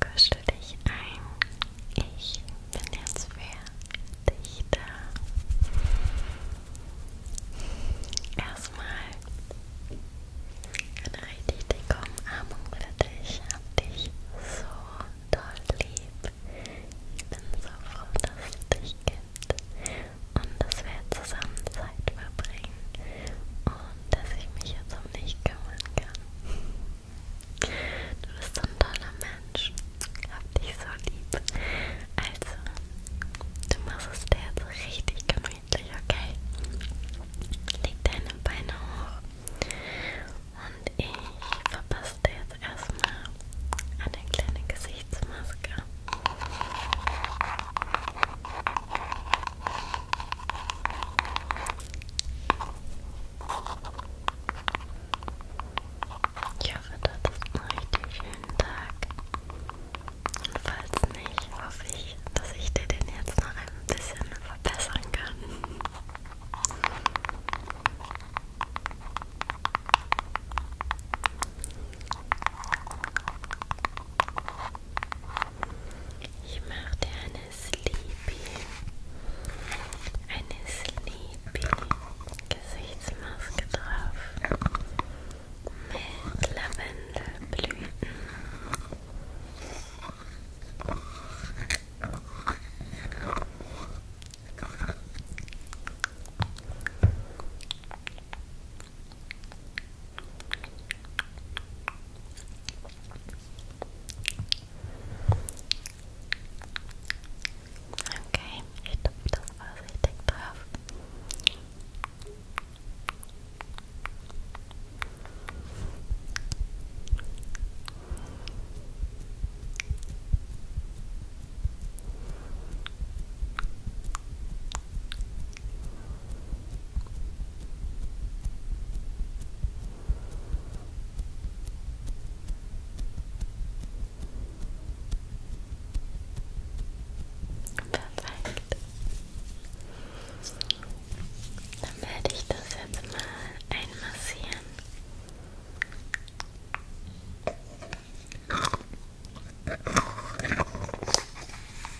kuschel dich ein. Ich bin jetzt für dich da. Erstmal eine richtig dicke Umarmung für dich. Ich hab dich so toll lieb. Ich bin so froh, dass es dich gibt und dass wir zusammen Zeit verbringen. Und dass ich mich jetzt um dich kümmern kann. Du bist so ein toller Mensch. Hab dich so lieb. Also, du machst es dir jetzt richtig gemütlich, okay? Leg deine Beine hoch. Und ich verpasse dir jetzt erstmal eine kleine Gesichtsmaske. Ich hoffe, du hattest einen richtig schönen Tag. Und falls nicht, hoffe ich, dass ich dir den jetzt noch ein bisschen verbessern kann. Ich mache dir eine Sleepy, eine Sleepy Gesichtsmaske drauf mit Lavendelblüten. Okay, ich tupfe das vorsichtig drauf. Okay. Perfekt. Dann werde ich das jetzt mal einmassieren.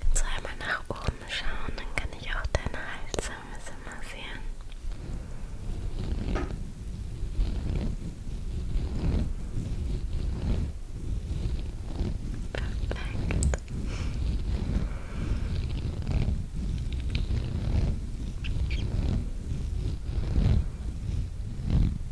Kannst du einmal nach oben schauen, dann kann ich auch deinen Hals ein bisschen massieren. Perfekt. Perfekt.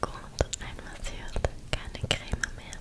Gut, einmassiert, keine Creme mehr.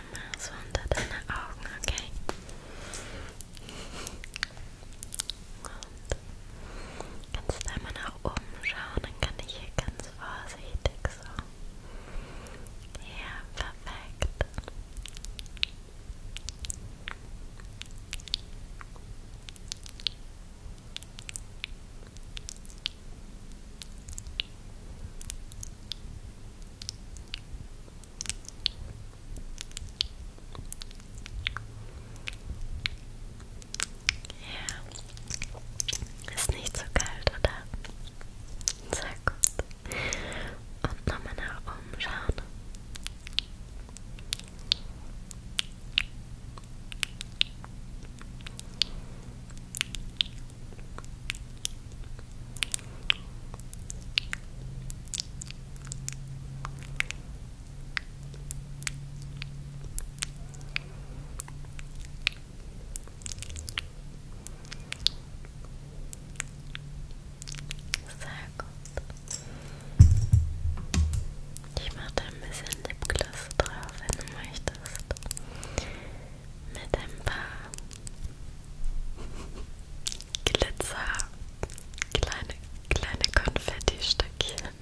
einmal so unter deine Augen, okay? Und kannst einmal nach oben schauen, dann kann ich hier ganz vorsichtig so. Ja, perfekt. Gut. Ja. Ist nicht so kalt, oder? Sehr gut. Und nochmal nach oben schauen. Sehr gut. Ich mache da ein bisschen Lipgloss drauf, wenn du möchtest mit ein paar Glitzer, kleine, kleine Konfetti-Stückchen.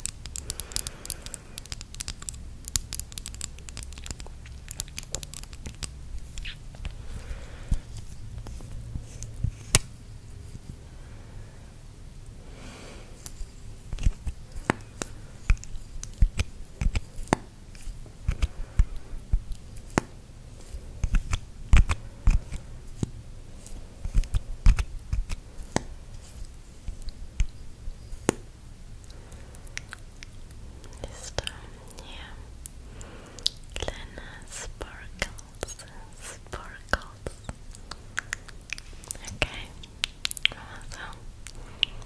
This time, yeah. Lena sparkles, sparkles. Okay, so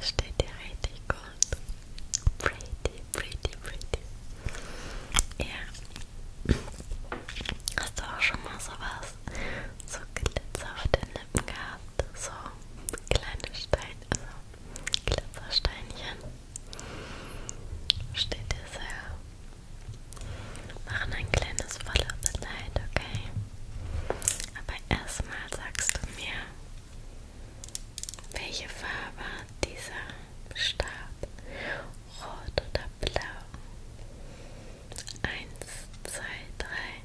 Steht dir richtig gut. Pretty, pretty, pretty. Ja. Hast du auch schon mal sowas? So Glitzer auf den Lippen gehabt? So Glitzersteinchen. Steht dir sehr. Machen ein kleines Follow-up-Light, okay? Aber erstmal sagst du mir, welche Farbe hat dieser Stab? Rot oder blau? Eins, zwei, drei.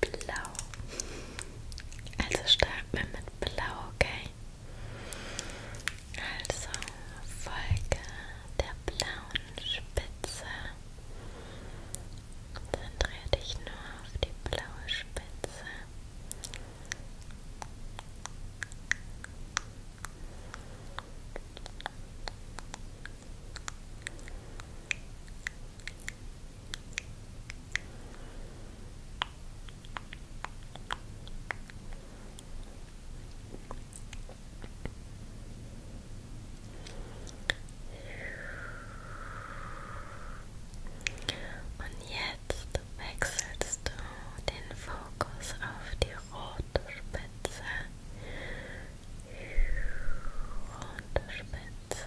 Blau. Also starten wir mit Blau, okay? Also folge der blauen Spitze. Konzentriere dich nur auf die blaue Spitze. Und jetzt wechselst du den Fokus auf die rote Spitze. Rote Spitze.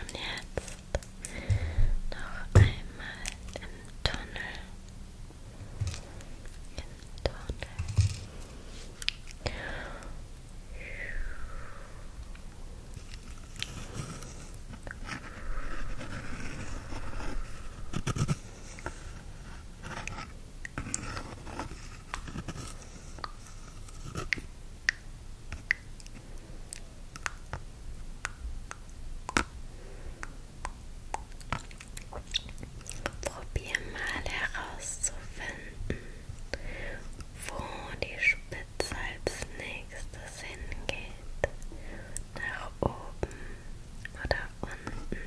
Und jetzt noch einmal im Tunnel. Im Tunnel. Und Probier mal herauszufinden, wo die Spitze als nächstes hingeht. Nach oben oder unten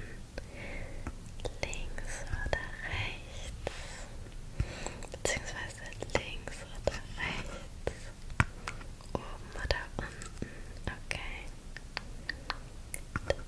links oder rechts, beziehungsweise links oder rechts, oben oder unten, okay. Links,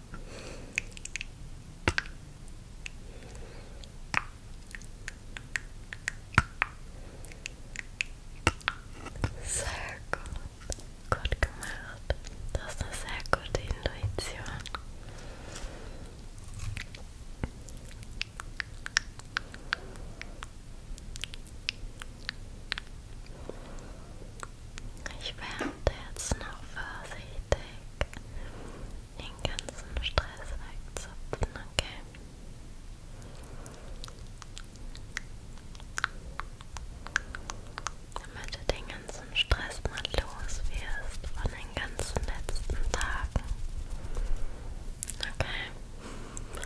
Sehr gut. Gut gemacht. Das ist eine sehr gute Intuition. Ich werde jetzt noch vorsichtig den ganzen Stress wegzupfen, okay? Damit du den ganzen Stress mal los wirst von den ganzen letzten Tagen. Okay?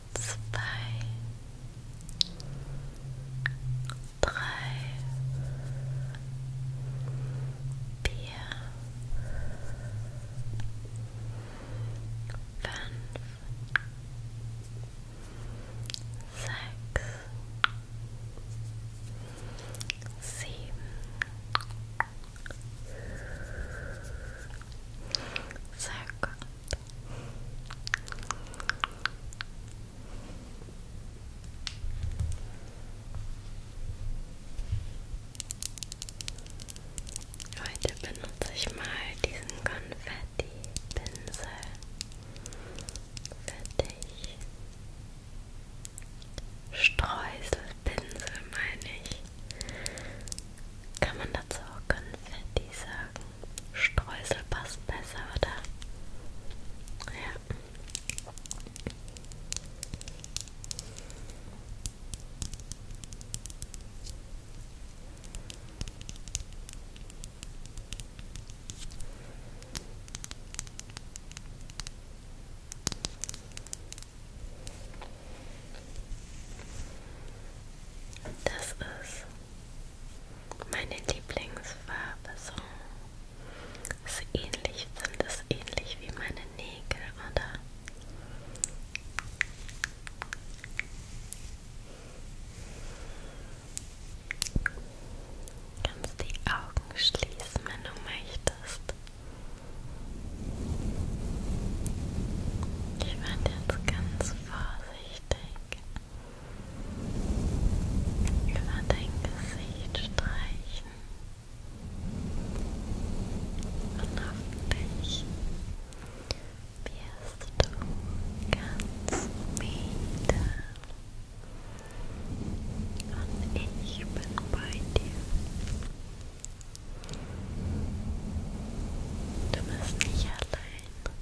zwei, drei, vier, fünf, sechs, sieben, circa Heute benutze ich mal diesen Konfetti-Pinsel für dich. Streuselpinsel meine ich. Kann man dazu auch Konfetti Konfetti sagen. Streusel passt besser, oder? Ja. Das ist meine Lieblingsfarbe so ist ähnlich, sind es ähnlich wie meine Nägel, oder? Kannst die Augen schließen, wenn du möchtest. Ich werde jetzt ganz vorsichtig über dein Gesicht streichen und hoffentlich wirst du ganz müde und ich bin bei dir. Du bist nicht allein.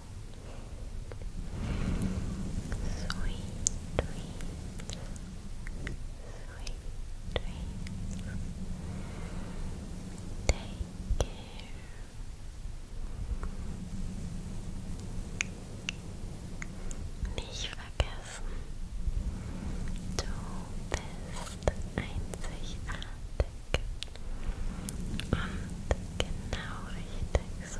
Sweet dreams. Sweet dreams. Take care. Nicht vergessen, du bist einzigartig und genau richtig so,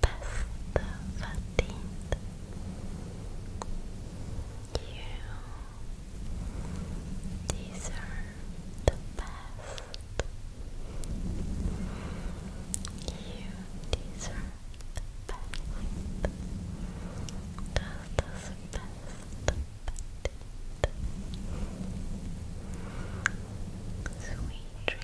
best You deserve the best. You deserve the best. Just as best verdient. Sweet dreams.